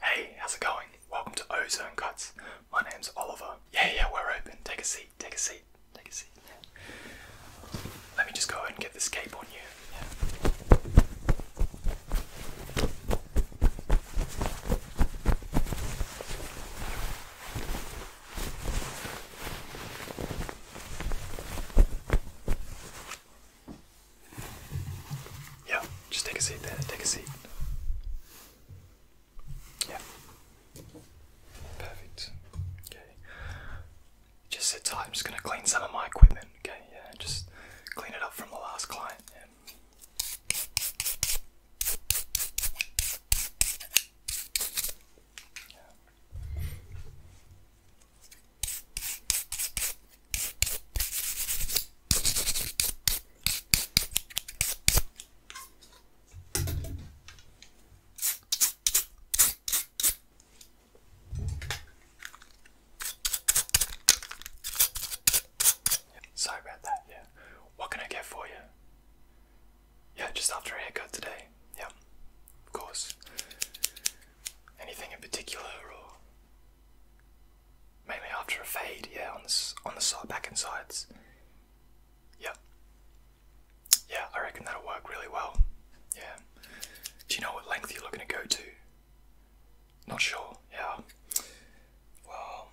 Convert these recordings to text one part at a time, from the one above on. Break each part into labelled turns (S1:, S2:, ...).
S1: Hey, how's it going? Welcome to Ozone Cuts. My name's Oliver. Yeah, yeah, we're open. Take a seat, take a seat, take a seat. Yeah. Let me just go ahead and get this cape on you. Yeah, just take a seat there. Take a seat. Yeah. Perfect. Okay. Just sit tight. I'm just gonna clean some of my equipment. Okay. Yeah. Just clean it up from the last client. Sorry about that, yeah. What can I get for you? Yeah, just after a haircut today. Yeah, of course. Anything in particular Mainly after a fade, yeah, on the, on the side, back and sides. Yeah, Yeah, I reckon that'll work really well. Yeah. Do you know what length you're looking to go to? Not sure, yeah. Well,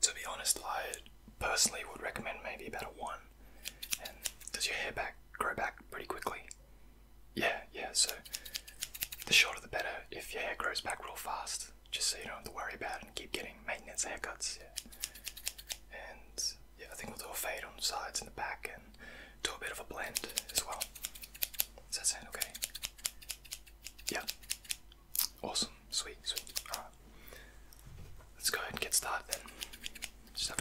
S1: to be honest, I personally would recommend maybe about a 1. And does your hair back grow back pretty quickly? Yeah, yeah, so the shorter the better if your hair grows back real fast, just so you don't have to worry about it and keep getting maintenance haircuts, yeah. And yeah, I think we'll do a fade on the sides and the back and do a bit of a blend as well. Does that sound okay? Yeah. Awesome. Sweet, sweet. Alright. Let's go ahead and get started then. Just have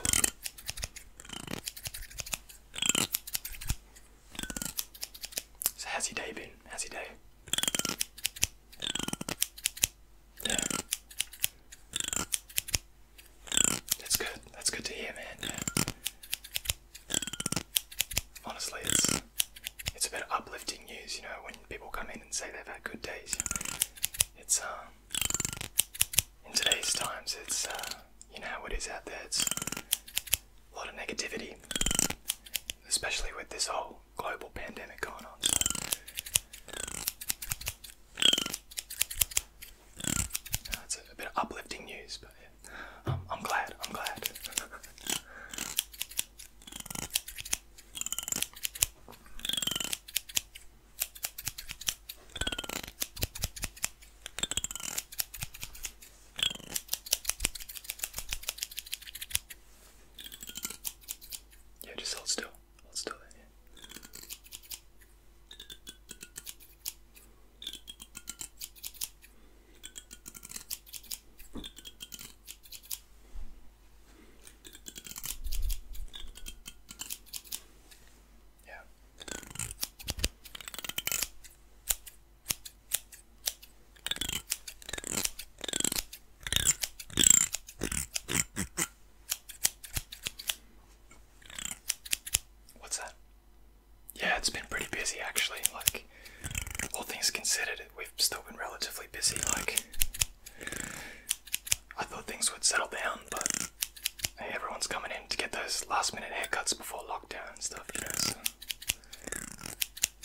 S1: how's your day been? How's your day? That's good. That's good to hear, man. Honestly, it's it's a bit of uplifting news, you know, when people come in and say they've had good days. It's um in today's times, it's uh, you know how out there a lot of negativity, especially with this whole global pandemic going on. it's a, bit uplifting news, but yeah. Um, I'm glad. I'm glad. Yeah, just hold still. Hold still there, yeah. Yeah. What's that? Yeah, it's been pretty busy actually. Like, all things considered, we've still been relatively busy. Like, I thought things would settle down, but Hey, everyone's coming in to get those last minute haircuts before lockdown and stuff, you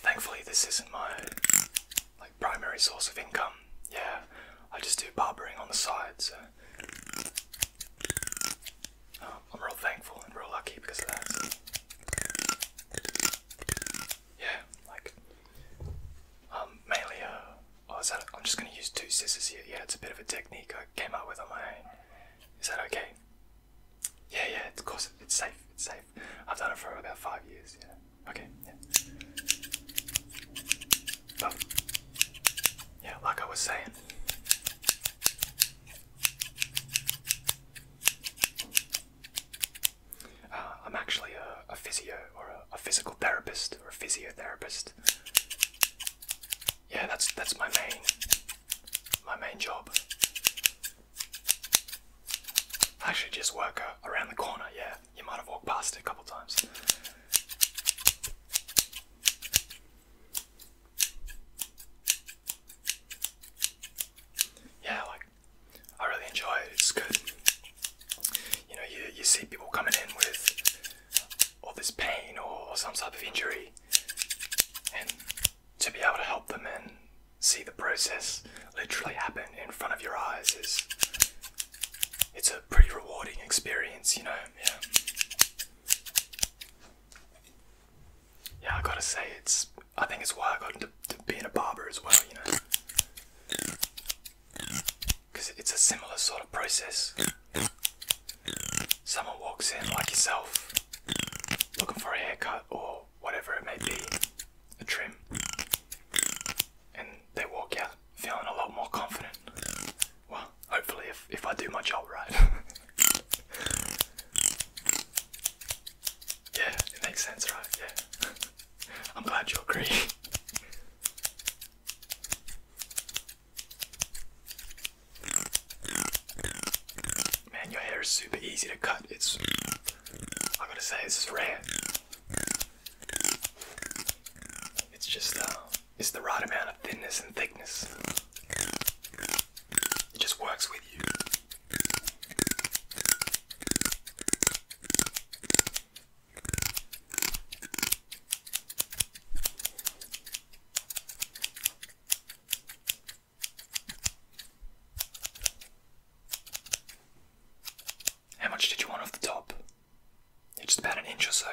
S1: thankfully this isn't my like primary source of income. Yeah, I just do barbering on the side, so um, I'm real thankful and real lucky because of that. Yeah, like um mainly uh oh is that I'm just gonna use two scissors here. Yeah, it's a bit of a technique I came up with on my own. Is that okay? Yeah, yeah, of course, it's safe, it's safe. I've done it for about five years, yeah. Okay, yeah. yeah, like I was saying. Uh, I'm actually a, physio or a, a physical therapist or a physiotherapist yeah, that's that's my main my main job. I actually just work uh, around the corner. Yeah, you might have walked past it a couple of times. Yeah, like I really enjoy it. It's good. You know, you you see people coming in with all this pain or some type of injury, and to be able to help them and see the process literally happen in front of your eyes is it's a pretty rewarding experience, you know. Yeah. Yeah, I gotta say it's. I think it's why I got into being a barber as well, you know because it's a similar sort of process. Someone walks in, like yourself, looking for a haircut or whatever it may be, a trim, and they walk out feeling a lot more confident. Well, hopefully, if, if I do my job right. yeah, it makes sense, right? Yeah. I'm glad you agree. Man, your hair is super easy to cut. It's I am going to say this is rare. It's just uh, it's the right amount of thinness and thickness. It just works with you. How much did you want off the top? It's about an inch or so.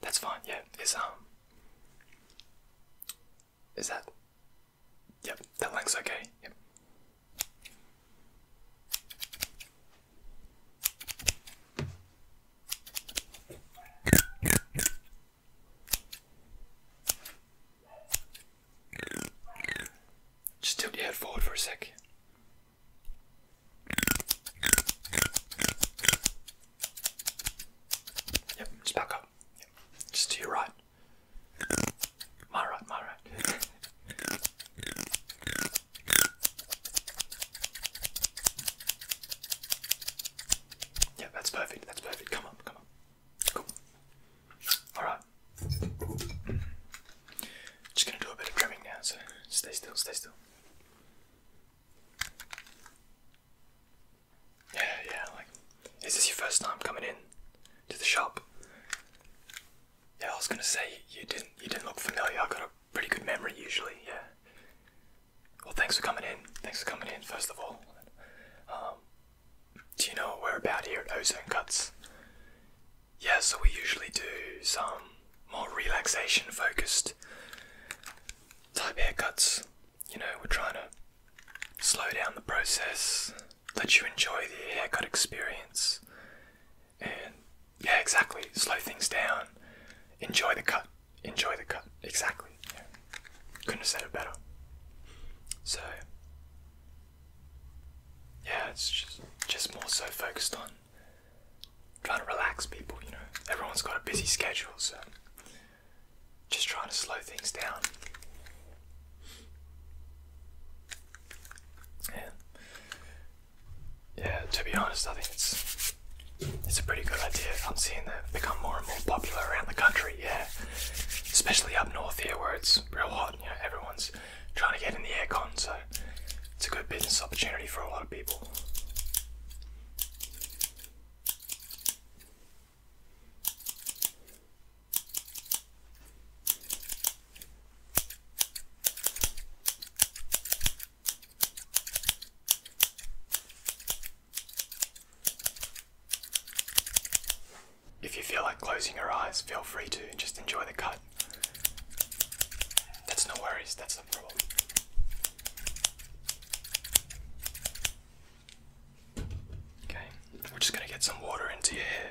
S1: That's fine, yeah. Is um Is that Yep, that length's okay, yep. Just tilt your head forward for a sec. Yep, just back up. Just to your right. My right, my right.
S2: Yeah, that's perfect. That's perfect. Come on, come on. Cool. Alright. Just gonna do a bit of trimming now, so stay still, stay still. Yeah, yeah, like, is this your first time coming in to the shop?
S1: Yeah, I was gonna say you didn't you didn't look familiar. I got a pretty good memory usually, yeah. Well, thanks for coming in. Thanks for coming in, first of all. Um, do you know what we're about here Ozone Cuts? Yeah, so we usually do some more relaxation focused type haircuts. You know, we're trying to slow down the process, let you enjoy the haircut experience, yeah, exactly. Slow things down. Enjoy the cut. Enjoy the cut. Exactly. Yeah. Couldn't have said it better. So yeah, it's just just more so focused on trying to relax people. You know, everyone's got a busy schedule, so just trying to slow things down. Yeah. Yeah, to be honest, I think it's it's a pretty good idea. I'm seeing that become more and more popular around the country. Yeah, especially up north here where it's real hot. You everyone's trying to get in the aircon, so it's a good business opportunity for a lot of people. If you feel like closing your eyes, feel free to just enjoy the cut. That's no worries, that's the problem. Okay, we're just going to get some water into your hair.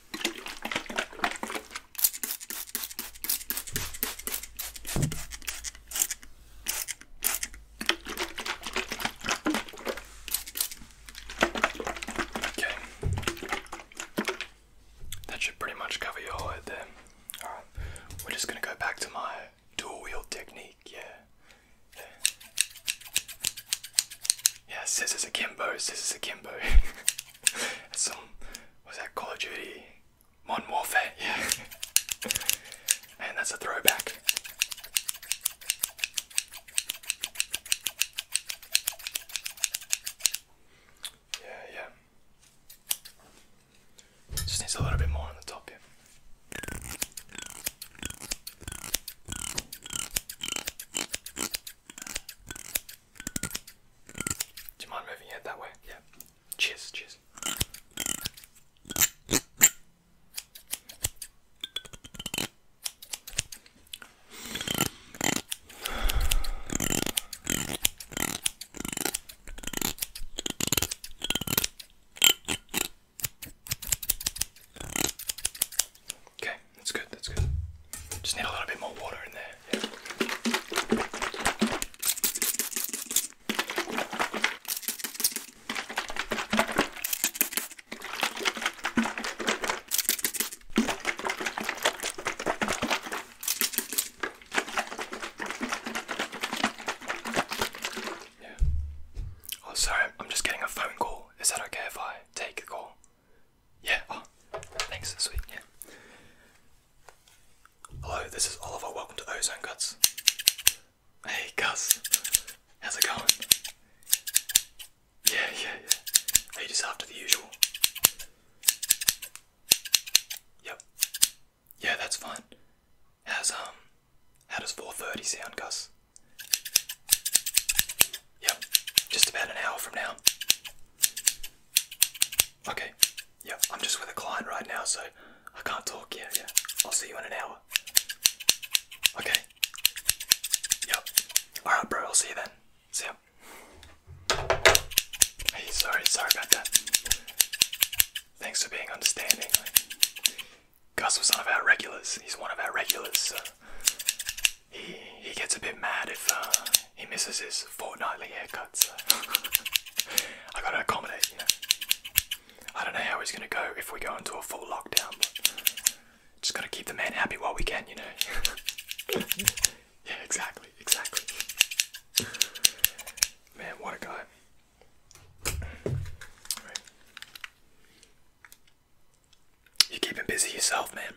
S1: Okay. That should pretty much cover your head then. Alright. We're just gonna go back to my dual wheel technique, yeah. Yeah, scissors akimbo, scissors akimbo. Some was that Call of Duty, Modern Warfare. Yeah, and that's a throwback. Yeah, yeah. Just needs a little bit more on the top here. Do you mind moving it that way? Yeah. Cheers,
S2: cheers. Okay, that's good, that's good. Just need a little bit more water in there. Yeah. Yeah. Oh, sorry, I'm just getting a phone call. Is that okay if I take a call? Yeah, oh, thanks, sweet, yeah. Hello, this is Oliver, welcome to Ozone Guts. Hey, Gus, how's it going? Yeah, yeah, yeah. Are you after the usual? Yep. Yeah, that's fine. How's, um, how does 4.30 sound, Gus? Yep, just about an hour from now. Okay, yep, I'm just with a client right now, so I can't talk. Yeah, yeah, I'll see you in an
S1: hour. Okay, yep, alright, bro, I'll see you then. See ya. Hey, sorry, sorry about that. Thanks for being understanding. Gus was one of our regulars, he's one of our regulars, he he gets a bit mad if uh, he misses his fortnightly haircuts. I gotta accommodate, you know. I don't know how he's gonna go if we go into a full lockdown, just gotta keep the man happy while we can, you know. yeah, exactly, exactly. Man, what a guy. You're keeping busy yourself, man.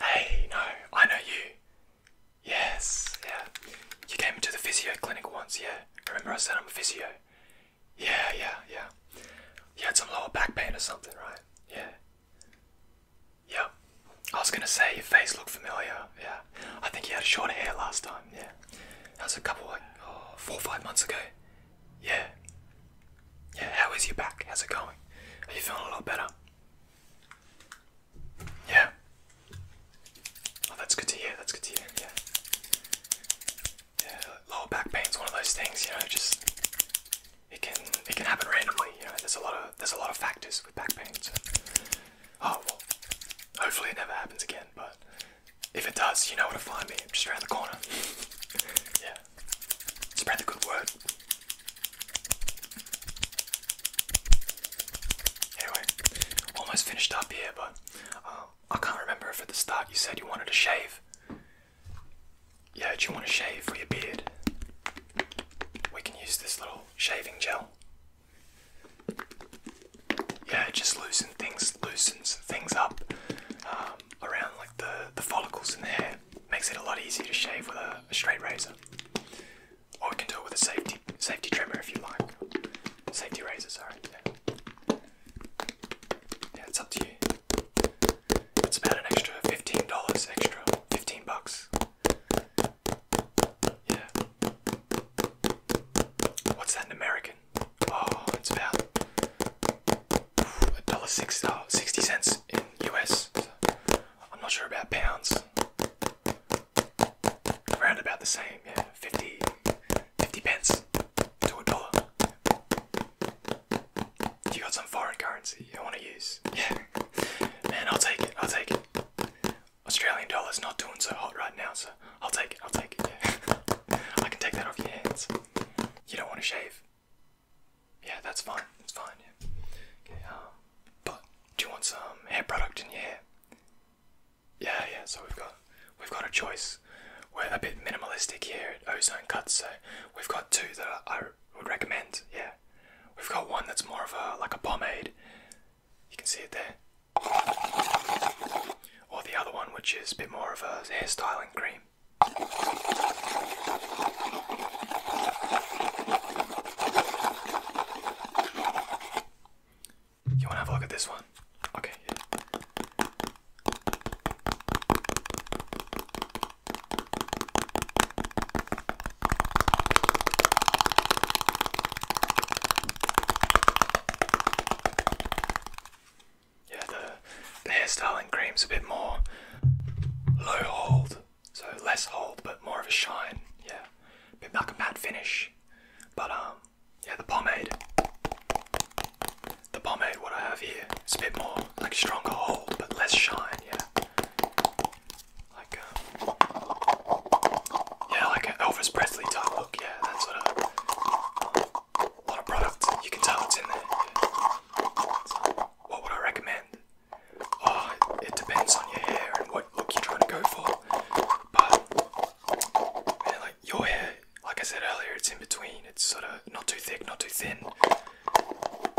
S1: Hey, no, I know you. Yes, yeah. You came to the physio clinic once, yeah. Remember I said I'm a physio? Yeah, yeah, yeah. You had some lower back pain or something, right? Yeah. Yep. I was gonna say your face looked familiar, yeah. I think you had short hair last time, yeah. That was a couple like oh, four, or five months ago. Yeah. Yeah, how is your back? How's it going? Are you feeling a lot better? Yeah. Oh, that's good to hear. That's good to hear. Yeah. Yeah, lower back pain's one of those things, you know, just it can it can happen randomly, you know, there's a lot of there's a lot of factors with back pain. Oh well hopefully it never happens again, but if it does, you know where to find me. I'm just around the corner. yeah. Spread the good word. Anyway, almost finished up here, but uh, I can't remember if the start you said you wanted to shave. Yeah, do you want to shave for your beard? We can use this little shaving gel yeah, it just loosen things, loosens things up um, around like the, the follicles in the hair. Makes it a lot easier to shave with a, straight razor. Or we can do it with a safety safety trimmer if you like. Safety razors, sorry. Yeah, it's up to you. It's about an extra fifteen dollars extra. Fifteen bucks. Yeah. What's that in American? Oh, it's about a dollar six, oh, cents in US. I'm not sure about pounds. Around about the same, yeah, 50, 50 pence to a dollar. You got some foreign currency you want to use? Yeah, man, I'll take it. I'll take it. Australian dollar's not doing so hot right now, sir. I'll take it, I'll take it, yeah. I can take that off your hands. You don't want to shave? Yeah, that's fine, that's fine, yeah. Um, but do you want some hair product in your hair? Yeah, yeah, so we've got we've got a choice. We're a bit minimalistic here at Ozone Cuts, so we've got two that I would recommend, yeah. We've got one that's more of a like a pomade you can see it there. Or the other one, which is a bit more of a hairstyling cream. You want to have a look at this one? Okay. Yeah,
S2: the, hair styling cream's a bit more low hold, so less hold but more of a shine. Yeah, a bit like a matte finish. But um, yeah, the pomade. The pomade, what I have here, it's a bit more like stronger hold but less
S1: shine. Yeah, like um, yeah, like an Elvis Presley type look. Yeah, that's what uh, a lot of product. You can tell it's in there. what would I recommend? Oh, it depends on your hair and what look you're trying to go for. But like your hair, like I said earlier, it's in between. It's sort of not too thick, not too thin.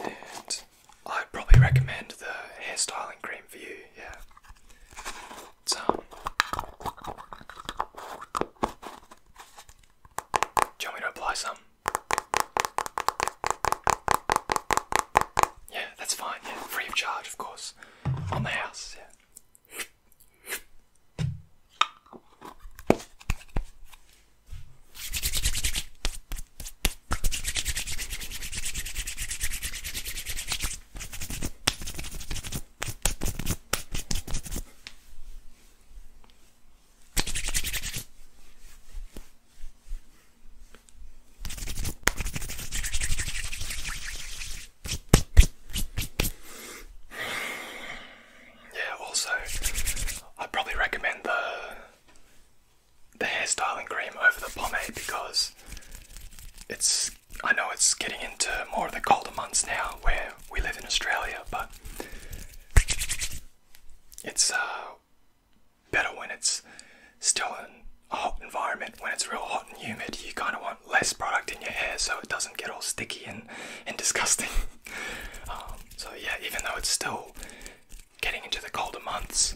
S1: And I'd probably recommend the hairstyling cream for you. Yeah. So, do you want me to apply some? Yeah, that's fine. Yeah, free of charge, of course, on the house. Yeah.
S2: Yeah, also, I'd probably recommend the the hairstyling cream over the pomade because it's I know it's getting into more of the colder months now where we live in Australia, but it's uh, better when it's still in a hot environment. When it's real hot and humid, you kind of want less product in your hair so it doesn't get all sticky and, and disgusting. Um, so, yeah, even though it's still getting into the colder
S1: months,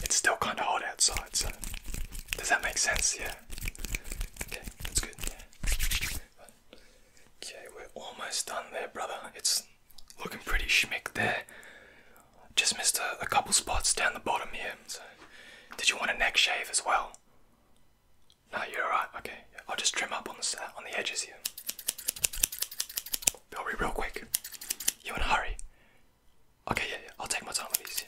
S1: it's still kind of hot outside, so does that make sense? Yeah. Okay, that's good. Okay, we're almost done there, brother. It's looking pretty schmick there. Just missed a, couple spots down the bottom here. did you want a neck shave as well? No, you're alright. Okay, I'll just trim up on the on the edges here. Hurry real quick. You in a hurry? Okay, yeah, yeah. I'll take my time with these.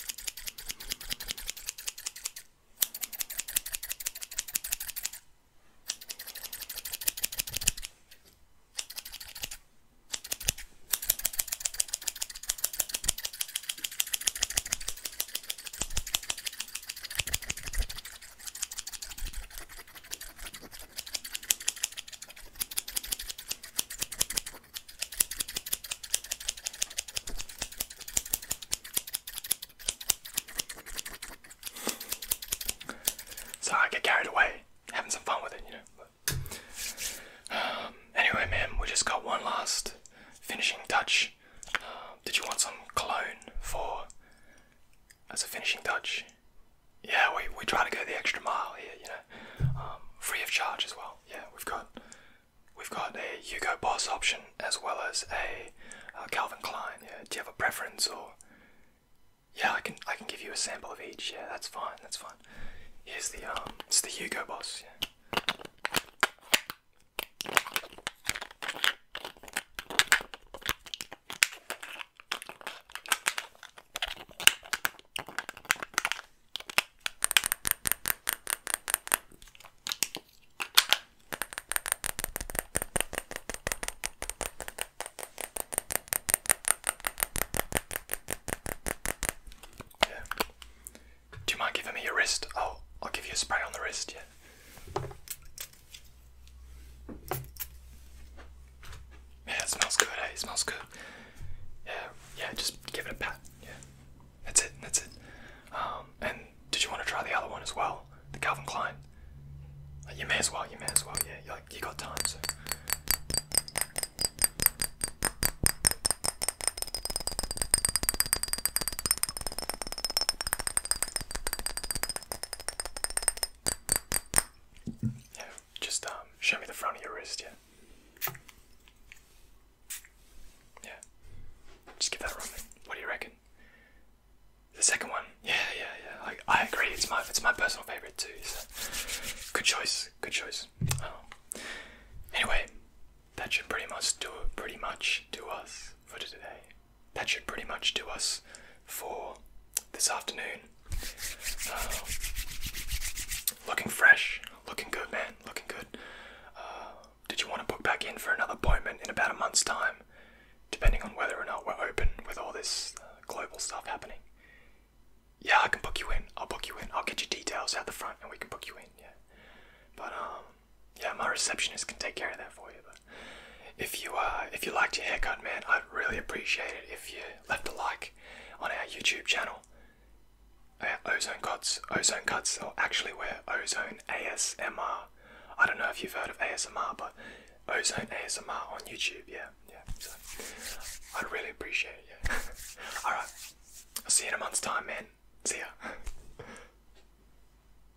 S1: So I get carried away, having some fun with it, you know. Um, anyway, man, we just got one last finishing touch. Um, did you want some cologne for
S2: as a finishing touch? yeah, we we try to go the extra mile here, you know, um, free of charge as well. Yeah, we've got we've got a Hugo Boss option as well as a uh, Calvin Klein. Yeah, do you have a preference or? Yeah, I can I can give you a sample of each. Yeah, that's fine. That's fine. Here's the um, it's the Hugo Boss. Yeah. Do you mind
S1: giving me your wrist? Oh, I'll give you a spray on the wrist, yeah, it smells good. It smells good. Yeah, yeah. Just give it a pat. Yeah, that's it. That's it. Um, and did you want to try the other one as well, the Calvin Klein? Uh, you may as well. You may as well. Yeah, you got time. Yeah, just um, show me the front of your wrist, yeah. Yeah. Just give that a run. What do you reckon? The second one, yeah, yeah, yeah. I, I agree. It's my it's my personal favorite too. So. Good choice. Good choice. Oh. Anyway, that should pretty much do it. Pretty much do us for today that should pretty much do us for this afternoon. Uh, looking fresh, looking good, man, looking good. Uh, did you want to book back in for another appointment in about a month's time? Depending on whether or not we're open with all this uh, global stuff happening. Yeah, I can book you in. I'll book you in. I'll get your details out the front and we can book you in, yeah. But, um, yeah, my receptionist can take care of that for you. But if you uh, if you liked your haircut, man, I'd really appreciate it if you left a like on our YouTube channel. Uh, ozone cuts, ozone cuts, or actually we're ozone ASMR. I don't know if you've heard of ASMR, but ozone ASMR on YouTube. Yeah, yeah. So
S2: I'd really appreciate it. All right. I'll see you in a month's time, man. See ya.